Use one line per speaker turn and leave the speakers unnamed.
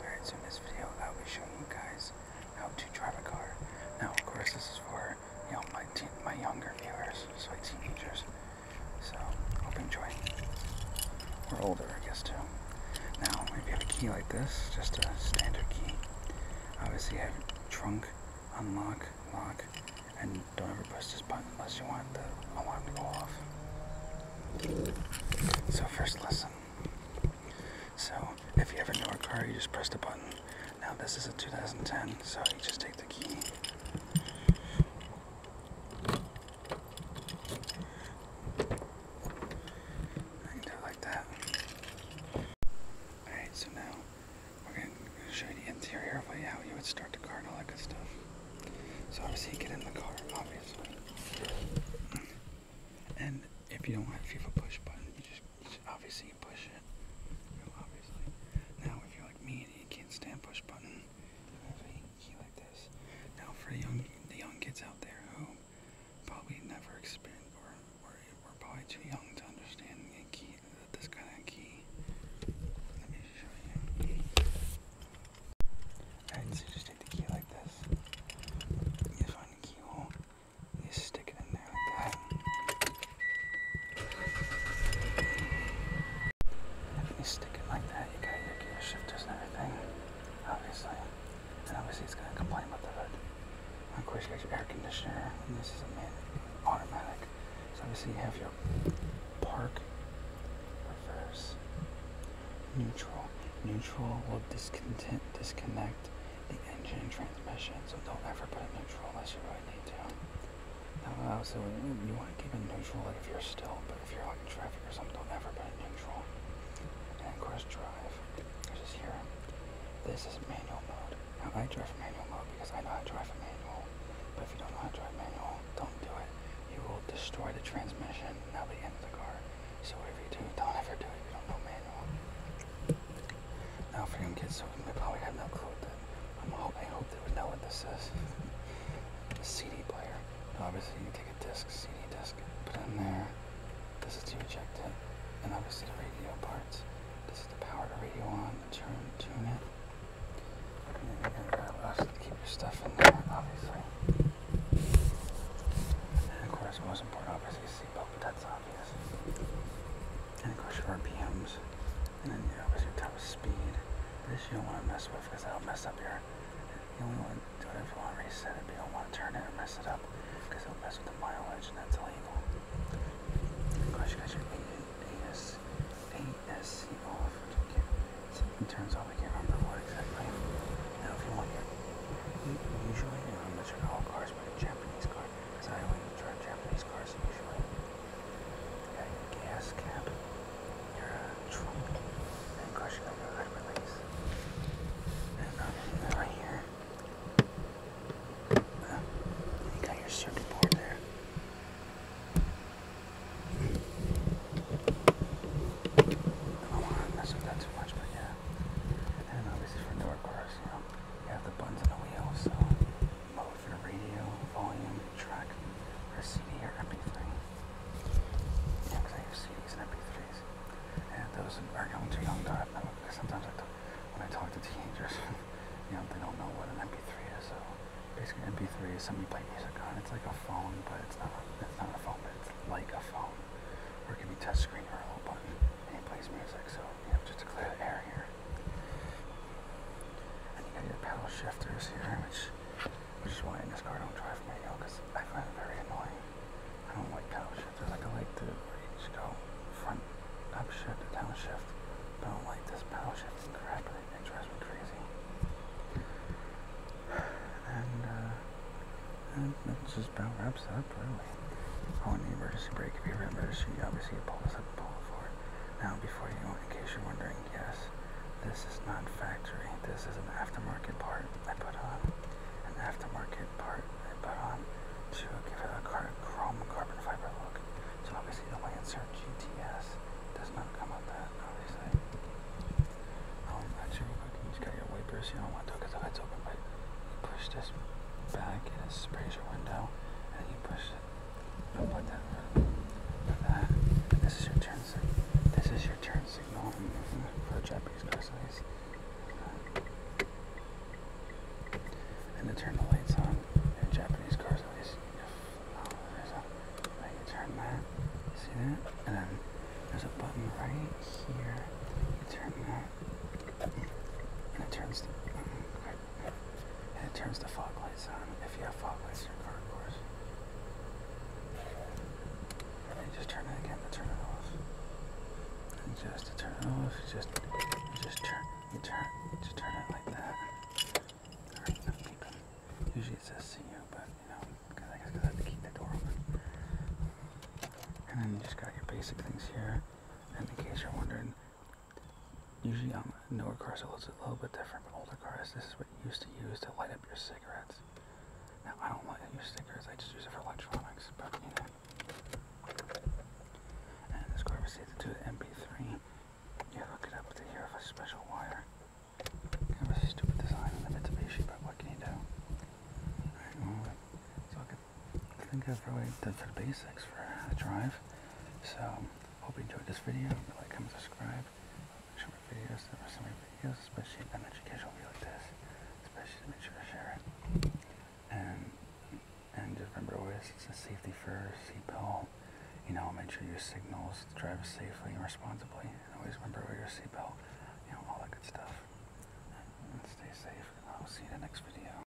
Alright, so in this video I'll be showing you guys how to drive a car. Now of course this is for you know my my younger viewers, so like teenagers. So hope you enjoy. Or older I guess too. Now if you have a key like this, just a standard key. Obviously you have trunk, unlock, lock, and don't ever press this button unless you want the alarm to go off. So first lesson. So if you ever know a car, you just press the button. Now this is a 2010, so you just take the key. like that. Alright, so now we're going to show you the interior how you would start the car and all that good stuff. So obviously get in the car, obviously. And if you don't have you a push button, you just, obviously push it. Now if you're like me and you can't stand push button, you have a key like this. Now for the young the young kids out there who probably never experienced or were, were probably too young to understand the key this kind of key show you. Alright, so just take the key like this. You find the keyhole, you stick it in there like that. If you stick it like that, you got your gear shifters and everything, obviously. And obviously it's going to complain about the hood. And of course you got your air conditioner, and this is a man automatic. So obviously you have your Park, reverse, neutral. Neutral will disconnect. disconnect the engine transmission, so don't ever put it neutral unless you really need to. Now, also, you want to keep it neutral like if you're still, but if you're like in traffic or something, don't ever put it neutral. And cruise drive, which is here. This is manual mode. Now I drive a manual mode because I know how to drive a manual. But if you don't know how to drive manual, don't do it. You will destroy the transmission and that'll be the end of the car. So whatever you do, don't ever do it if you don't know manual. Now for young kids, so they probably have no clue that I'm hope they would know what this is. a CD player. obviously you take a disc, CD disc, put in there. This is to eject it. And obviously the radio parts. This is the power to radio on turn, tune it. And then you're gonna grab to keep your stuff in there, obviously. And of course, most important, obviously, is seatbelt, but that's obvious. And of course, your RPMs, and then obviously your top speed. This you don't want to mess with because that'll mess up your. You only want to do it if you want to reset it, but you don't want to turn it or mess it up because it'll mess with the mileage and that's illegal. Gosh, you guys I can't remember what exactly. Now, if you want your, usually, you know, unless you all cars, but Japanese car, because I only drive Japanese cars usually. Yeah, gas cap, your uh, trunk, and gosh, your hood release. And uh, right here, you got your circuit board there. I don't want to mess too much, but yeah. I do for door cars, you know. You have the buttons on the wheel, so mode for radio, volume, track, CD or mp Yeah, because I have CDs and mp days. And those are young to young. I, I, sometimes I talk, when I talk to teenagers, you know, they don't know what an MP3 is. So basically, MP3 is something you play music on. It's like a phone, but it's not. It's not a phone, but it's like a phone, or it can be touchscreen or a little button, and it plays music. So you know, just to clear the air here. And you got your pedal shifters here, which which is why in this car I don't drive manual because I find it very annoying. I don't like cow I like, a light to reach, go front, upshift shift, down I don't like this paddle shift crap. It, it drives me crazy. And, uh, and that's just about wraps up, really. on oh, the emergency brake. If you have an emergency, obviously you pull this up and pull it forward. Now, before you go, in case you're wondering, yes. This is not factory. This is an aftermarket part I put on. An aftermarket part I put on to give it a car chrome carbon fiber look. So obviously the Lancer GTS does not come with that, obviously. Um, actually, real quick, you just got your wipers. You don't want to because the hood's open, but you push this back and it sprays your window, and you push it. I'll that this is your turn. This is your turn signal for Japanese cars, size. Uh, and to turn the lights on in Japanese car size. If, there's a right. turn that. See that? And then there's a button right here. You turn that, and it turns and it turns the fog lights on. If you have fog lights in your car, of course. And just turn it again to turn it off. And just to turn it off, you just you just turn you turn you just turn it like that. Usually it says see you, but you know, cause I guess cause I have to keep the door open. And then you just got your basic things here. And in case you're wondering, Usually on newer cars it looks a little bit different, but older cars, this is what you used to use to light up your cigarettes. Now, I don't like to use stickers, I just use it for electronics, but you know. And this car proceeds to do the MP3. You hook it up to here with a special wire. Kind of a stupid design in the Mitsubishi, but what can you do? Alright, well, so I, could, think of have really done for the basics for a drive. So, Hope you enjoyed this video. Like, comment, subscribe. Make sure my videos, there are some videos, especially an educational video like this. Especially to make sure to share it. And and just remember always safety first, seatbelt. You know, make sure your signals drive safely and responsibly. And always remember wear your seatbelt. You know, all that good stuff. stay safe. I'll see you in the next video.